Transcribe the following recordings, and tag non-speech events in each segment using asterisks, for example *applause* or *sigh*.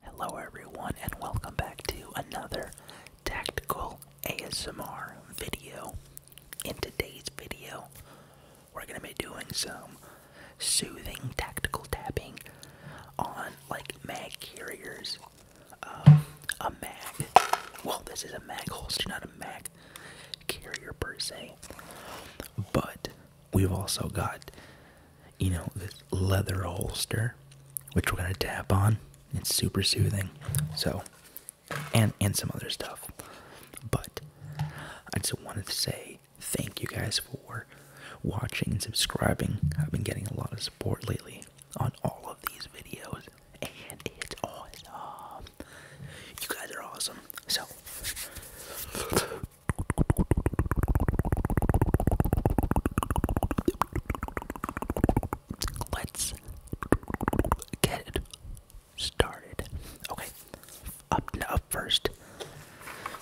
Hello, everyone, and welcome back to another tactical ASMR video. In today's video, we're going to be doing some soothing tactical tapping on like mag carriers. Um, a mag, well, this is a mag holster, not a mag carrier per se, but we've also got you know, this leather holster, which we're gonna tap on. It's super soothing. So and and some other stuff. But I just wanted to say thank you guys for watching and subscribing. I've been getting a lot of support lately on all of these videos, and it's awesome. You guys are awesome. So Let's get it started. Okay, up up first.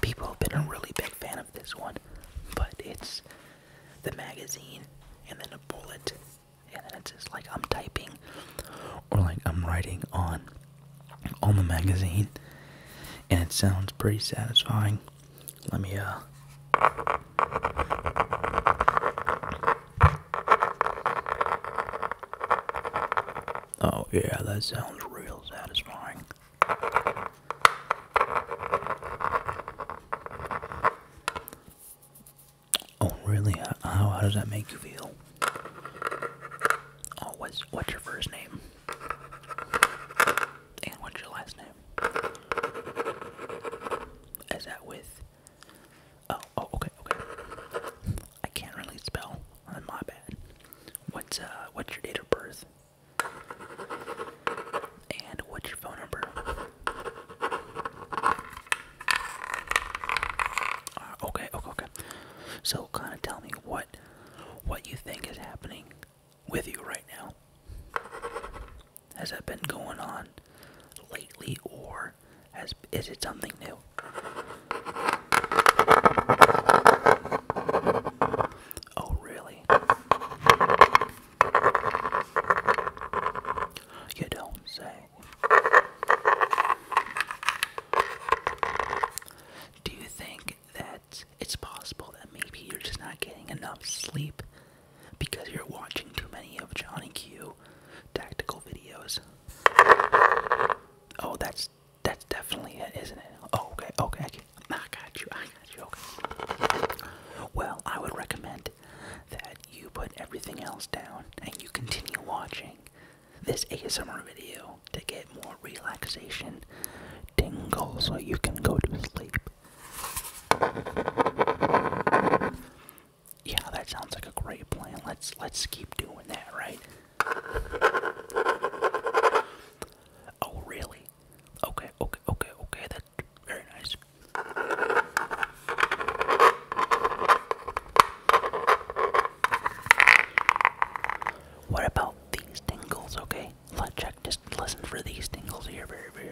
People have been a really big fan of this one, but it's the magazine and then a bullet, and then it's just like I'm typing or like I'm writing on on the magazine, and it sounds pretty satisfying. Let me, uh, Oh, yeah, that sounds real satisfying. Oh, really? How, how does that make you feel? Oh, what's, what's your first name? And what's your last name? Is that with? Oh, oh, okay, okay. I can't really spell. Uh, my bad. What's uh, what's your date of birth? And what's your phone number? Uh, okay, okay, okay. So, kind of tell me what, what you think is happening with you right now. Has that been going on lately, or is it something new? Oh, really? You don't say. Do you think that it's possible that maybe you're just not getting enough sleep because you're watching too many of Johnny Q tactical videos. Oh, that's that's definitely it, isn't it? Oh, okay, okay, I got you, I got you. Okay. Well, I would recommend that you put everything else down and you continue watching this ASMR video to get more relaxation tingles so you can go to sleep. Yeah, that sounds like a great plan. Let's let's keep doing that, right? Oh, really? Okay, okay, okay, okay. That's very nice. What about these tingles, okay? Let's check. Just listen for these tingles here. Very, very.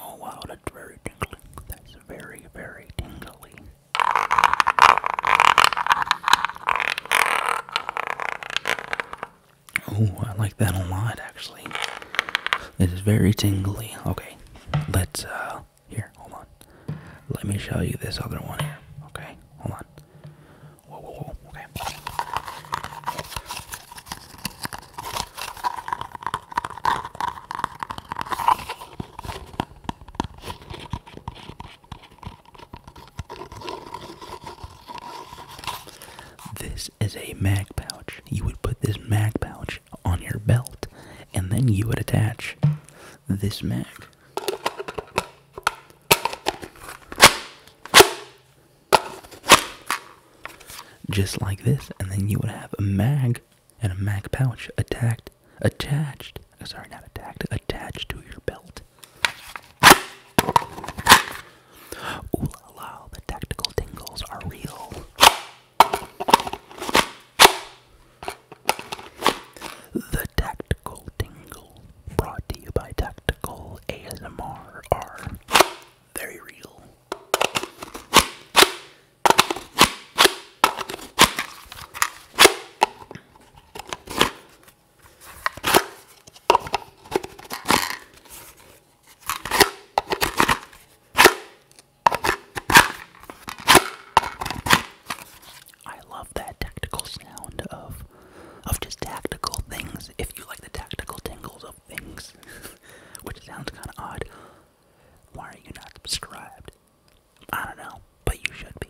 Oh wow, that's very tingly. That's very, very tingly. Oh, I like that a lot, actually. It is very tingly. Okay, let's. uh, Here, hold on. Let me show you this other one here. Okay, hold on. Whoa, whoa, whoa. Okay. This is a mag pouch. You would put this mag pouch on your belt and then you would attach this mag just like this, and then you would have a mag and a mag pouch attacked, attached. Sorry, not attacked, attached to your belt. Ooh la la, the tactical tingles are real. The Tactical Tingle, brought to you by Tactical ASMR are very real. I love that tactical sound of of just tactical things. If you like the tactical tingles of things, *laughs* which sounds kind of odd, why are you not subscribed? I don't know, but you should be.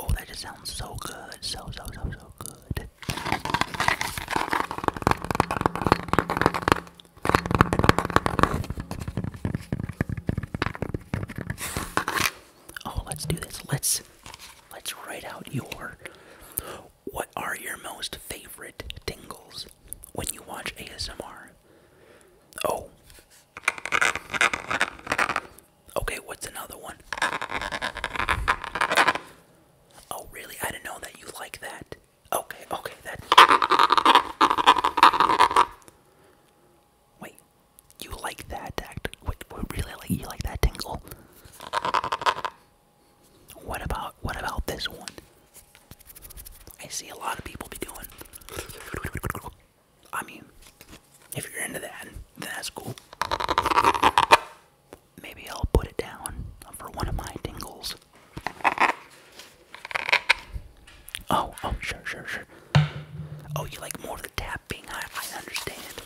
Oh, that just sounds so good. So, so, so, so good. Oh, let's do this. Let's let's write out your what are your most favorite tingles when you watch ASMR? Oh. Okay, what's another one? Oh, really? I didn't know that you like that. Okay, okay, that. Wait, you like that act? Wait, really? Like you like that tingle? What about what about this one? I see a lot of people be doing. I mean, if you're into that, then that's cool maybe I'll put it down for one of my tingles. Oh, oh, sure, sure, sure. Oh, you like more of the tapping? I, I understand.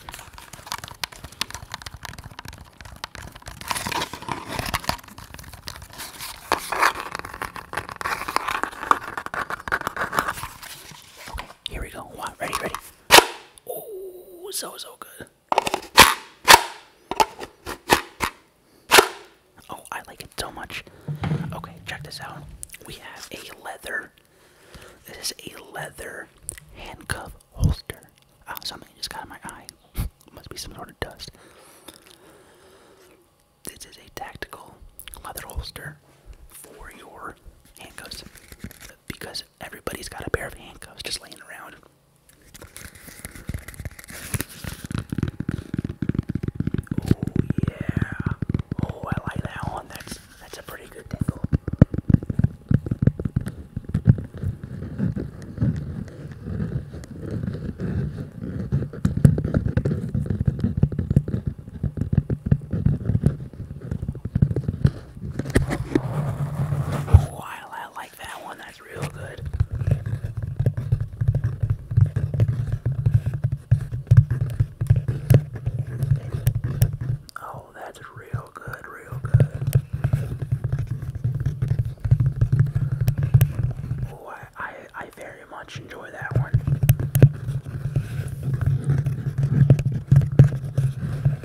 here we go. Wow, ready, ready. Oh, so so good. Oh, I like it so much. Okay, check this out. We have a leather. This is a leather handcuff holster. Oh, something just got in my eye. *laughs* Must be some sort of dust. This is a tactical leather holster for your handcuffs because everybody's got a pair of handcuffs just laying around. Oh, yeah. Oh, I like that one. That's that's a pretty good tingle. Oh, I, like that one. That's real good. Oh, that's real good, real good. Oh, I, I very much enjoy that one.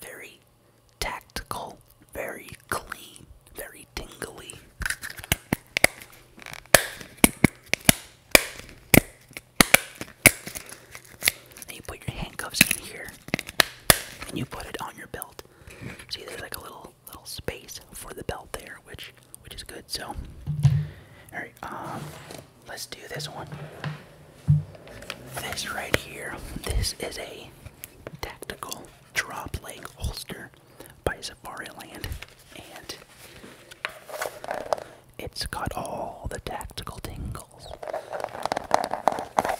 Very tactical, very clean, very tingly. And you put your handcuffs in here and you put it on your belt. See, there's like a little little space for the belt there, which which is good. So, all right, um, let's do this one. This right here, this is a tactical drop leg holster by Safariland, and it's got all the tactical tingles.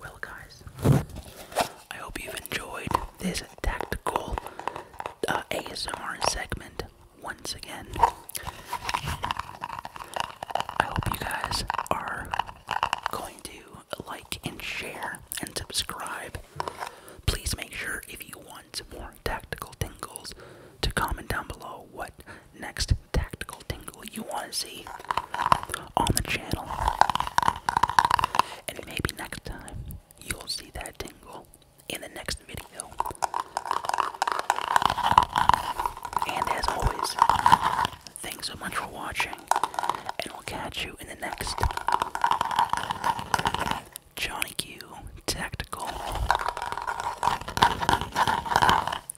Well, guys, I hope you've enjoyed this tactical uh, ASMR segment once again. I hope you guys are going to like and share and subscribe. Please make sure if you want more tactical tingles to comment down below what next tactical tingle you want to see on the channel. And maybe next time you'll see that tingle in the next video. And as always, thanks so much for watching, and we'll catch you in the next Johnny Q Tactical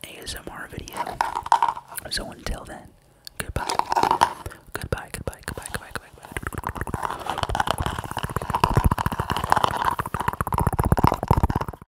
ASMR video. So until then, goodbye. Goodbye, goodbye, goodbye, goodbye, goodbye,